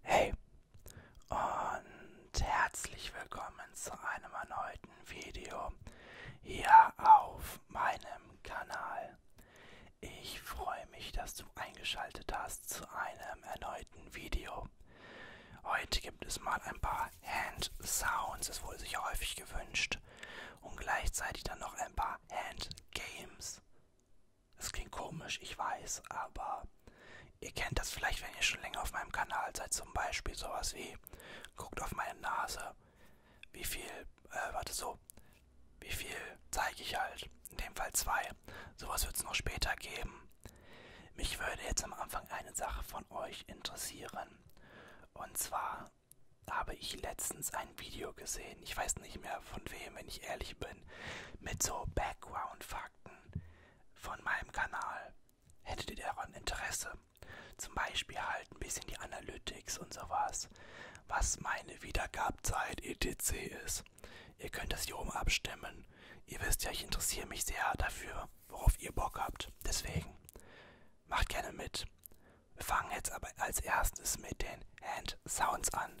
Hey und herzlich willkommen zu einem erneuten Video hier auf meinem Kanal. Ich freue mich, dass du eingeschaltet hast zu einem erneuten Video. Heute gibt es mal ein paar Hand Sounds, es wurde sich häufig gewünscht, und gleichzeitig dann noch ein paar Hand Games. Es klingt komisch, ich weiß, aber ihr kennt das vielleicht, wenn ihr schon länger auf meinem Kanal seid, zum Beispiel sowas wie, guckt auf meine Nase, wie viel, äh, warte so, wie viel zeige ich halt, in dem Fall zwei. Sowas wird es noch später geben. Mich würde jetzt am Anfang eine Sache von euch interessieren. Und zwar habe ich letztens ein Video gesehen, ich weiß nicht mehr von wem, wenn ich ehrlich bin, mit so Background-Fakten Fakten von meinem Kanal. Hättet ihr daran Interesse? Zum Beispiel halt ein bisschen die Analytics und sowas. Was meine Wiedergabzeit etc. ist. Ihr könnt das hier oben abstimmen. Ihr wisst ja, ich interessiere mich sehr dafür, worauf ihr Bock habt. Deswegen macht gerne mit. Wir fangen jetzt aber als erstes mit den Hand Sounds an.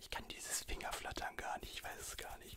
Ich kann dieses Fingerflattern gar nicht, ich weiß es gar nicht.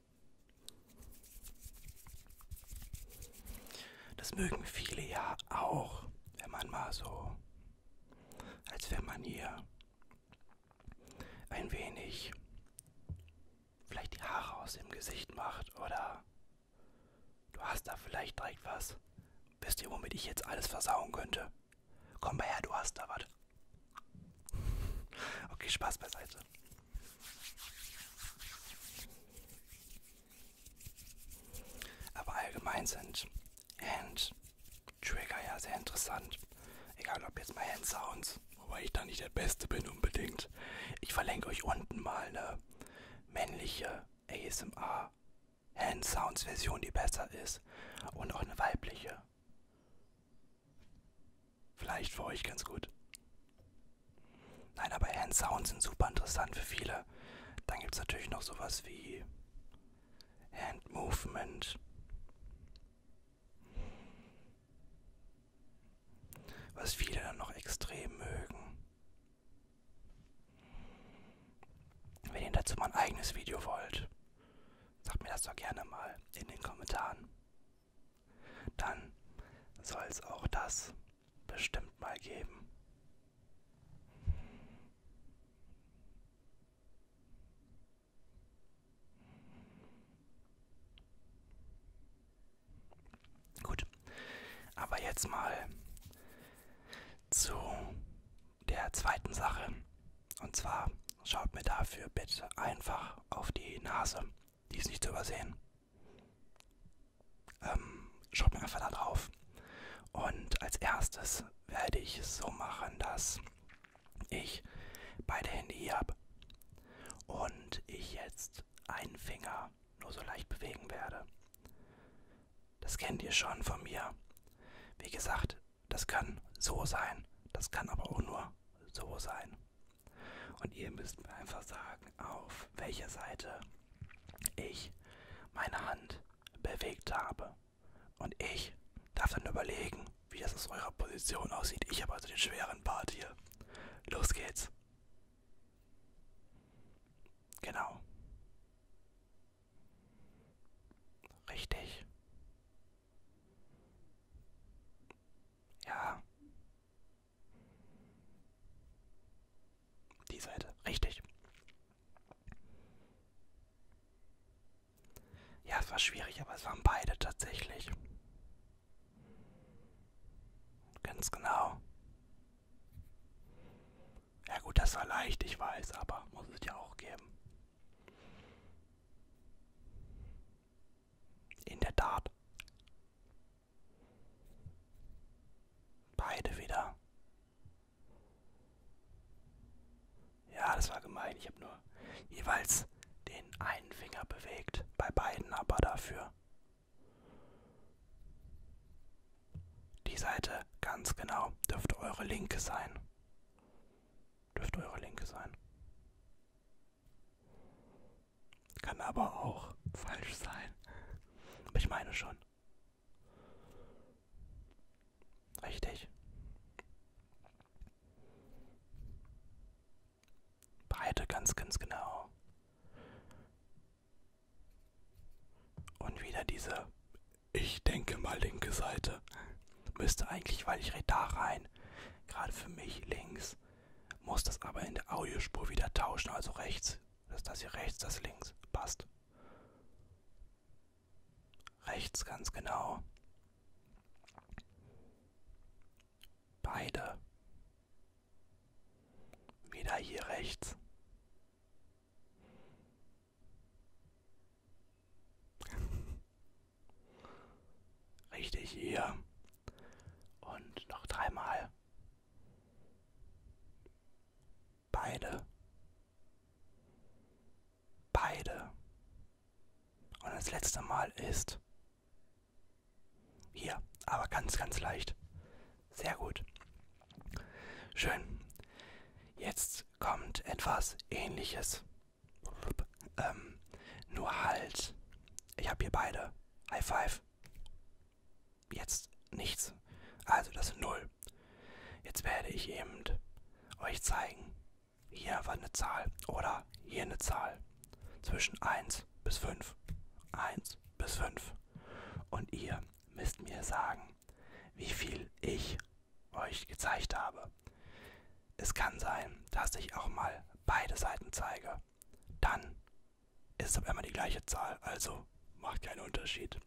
Das mögen viele ja auch, wenn man mal so, als wenn man hier ein wenig vielleicht die Haare aus dem Gesicht macht oder du hast da vielleicht direkt was. Wisst ihr, womit ich jetzt alles versauen könnte? Komm mal her, du hast da was. Okay, Spaß beiseite. Aber allgemein sind Hand Trigger ja sehr interessant. Egal ob jetzt mal Hand Sounds, wobei ich da nicht der Beste bin unbedingt. Ich verlinke euch unten mal eine männliche ASMR Hand Sounds Version, die besser ist und auch eine weibliche. Vielleicht für euch ganz gut. Nein, aber Hand-Sounds sind super interessant für viele. Dann gibt es natürlich noch sowas wie Hand-Movement. Was viele dann noch extrem mögen. Wenn ihr dazu mal ein eigenes Video wollt, sagt mir das doch gerne mal in den Kommentaren dann soll es auch das bestimmt mal geben. Gut, aber jetzt mal zu der zweiten Sache. Und zwar schaut mir dafür bitte einfach auf die Nase. Die ist nicht zu übersehen. Ähm, schaut mir einfach da drauf. Und als erstes werde ich es so machen, dass ich beide Hände hier habe und ich jetzt einen Finger nur so leicht bewegen werde. Das kennt ihr schon von mir. Wie gesagt, das kann so sein, das kann aber auch nur so sein. Und ihr müsst mir einfach sagen, auf welcher Seite ich meine Hand bewegt habe. Und ich darf dann überlegen, wie das aus eurer Position aussieht. Ich habe also den schweren Part hier. Los geht's. Genau. Richtig. Ja. Die Seite. Richtig. Ja, es war schwierig, aber es waren beide tatsächlich. Ganz genau. Ja gut, das war leicht, ich weiß, aber muss es ja auch geben. In der Tat. Beide wieder. Ja, das war gemein. Ich habe nur jeweils den einen Finger bewegt. Bei beiden aber dafür. Die Seite ganz genau dürfte eure linke sein. Dürfte eure linke sein. Kann aber auch falsch sein. Aber ich meine schon. Richtig. Breite ganz, ganz genau. Und wieder diese, ich denke mal, linke Seite. Müsste eigentlich, weil ich rede da rein sein. Gerade für mich links muss das aber in der Audiospur wieder tauschen, also rechts. Das ist das hier rechts, das links. Passt. Rechts ganz genau. Beide. Wieder hier rechts. Richtig hier. Und noch dreimal. Beide. Beide. Und das letzte Mal ist hier, aber ganz, ganz leicht. Sehr gut. Schön. Jetzt kommt etwas Ähnliches. Ähm, nur halt, ich habe hier beide. High Five. Jetzt nichts. Also das Null. Jetzt werde ich eben euch zeigen. Hier war eine Zahl oder hier eine Zahl. Zwischen 1 bis 5. 1 bis 5. Und ihr müsst mir sagen, wie viel ich euch gezeigt habe habe. Es kann sein, dass ich auch mal beide Seiten zeige. Dann ist es aber immer die gleiche Zahl, also macht keinen Unterschied.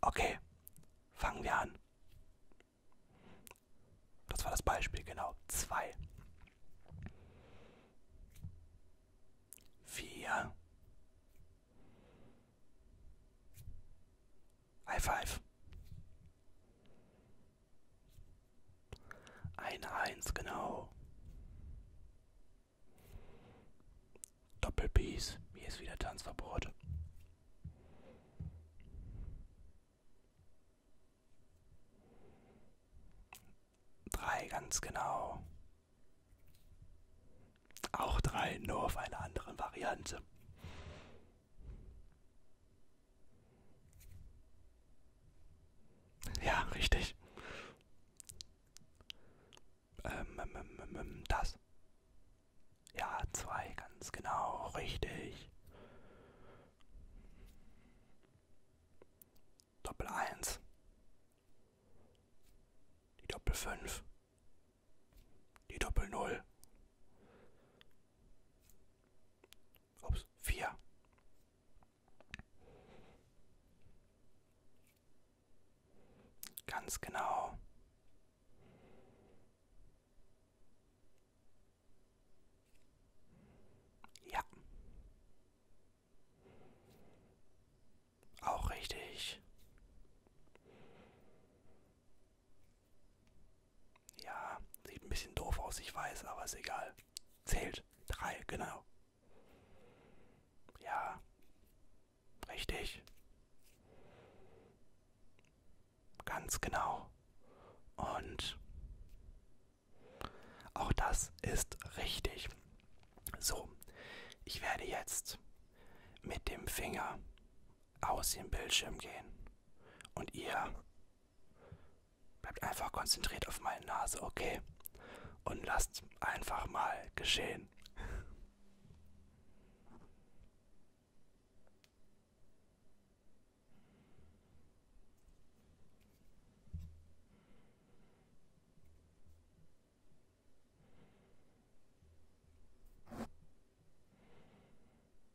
Okay, fangen wir an. Das war das Beispiel, genau. 2. 4. High five. Eine Eins, genau. Doppelpiece. Hier ist wieder Tanzverbot. Drei, ganz genau. Auch drei, nur auf einer anderen Variante. Ja, richtig. Ähm ähm, ähm, ähm, ähm, das. Ja, zwei, ganz genau, richtig. Doppel eins. Die Doppel fünf. Die Doppel null. Ups, vier. Ganz genau. Ja. Auch richtig. Ja, sieht ein bisschen doof aus, ich weiß, aber ist egal. Zählt. Drei, genau. Ja. Richtig. Ganz genau. Und auch das ist richtig. So, ich werde jetzt mit dem Finger aus dem Bildschirm gehen und ihr bleibt einfach konzentriert auf meine Nase, okay? Und lasst einfach mal geschehen.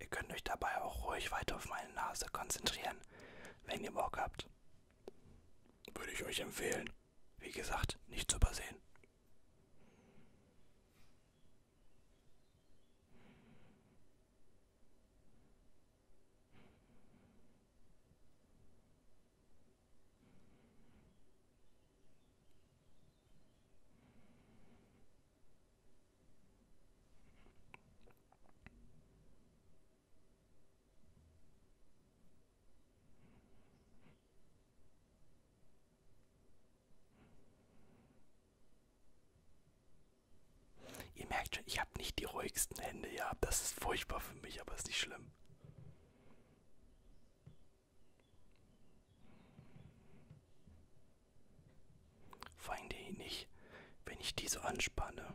Ihr könnt euch dabei auch ruhig weiter auf meine Nase konzentrieren, wenn ihr Bock habt. Würde ich euch empfehlen. Wie gesagt, nicht zu übersehen. Ihr merkt schon, ich habe nicht die ruhigsten Hände, ja. Das ist furchtbar für mich, aber ist nicht schlimm. Feinde ihn nicht, wenn ich diese anspanne.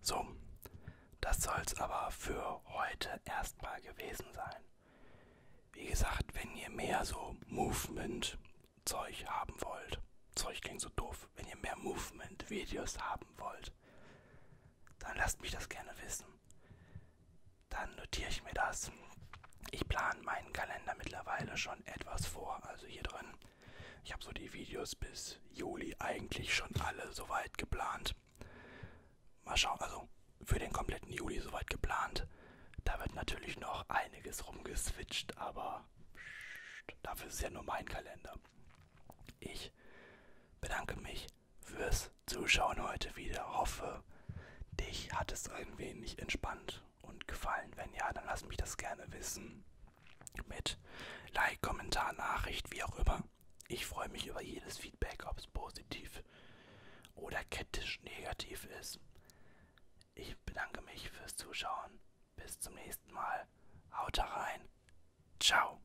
So, das soll es aber für heute erstmal gewesen sein. Wie gesagt, wenn ihr mehr so Movement-Zeug haben wollt, Zeug klingt so doof, wenn ihr mehr Movement-Videos haben wollt, dann lasst mich das gerne wissen dann notiere ich mir das. Ich plane meinen Kalender mittlerweile schon etwas vor, also hier drin. Ich habe so die Videos bis Juli eigentlich schon alle soweit geplant. Mal schauen, also für den kompletten Juli soweit geplant. Da wird natürlich noch einiges rumgeswitcht, aber pst, dafür ist ja nur mein Kalender. Ich bedanke mich mich fürs Zuschauen heute wieder. Hoffe, dich hat es ein wenig entspannt und gefallen. Wenn ja, dann lass mich das gerne wissen. Mit Like, Kommentar, Nachricht, wie auch immer. Ich freue mich über jedes Feedback, ob es positiv oder kritisch negativ ist. Ich bedanke mich fürs Zuschauen. Bis zum nächsten Mal. Haut rein. Ciao.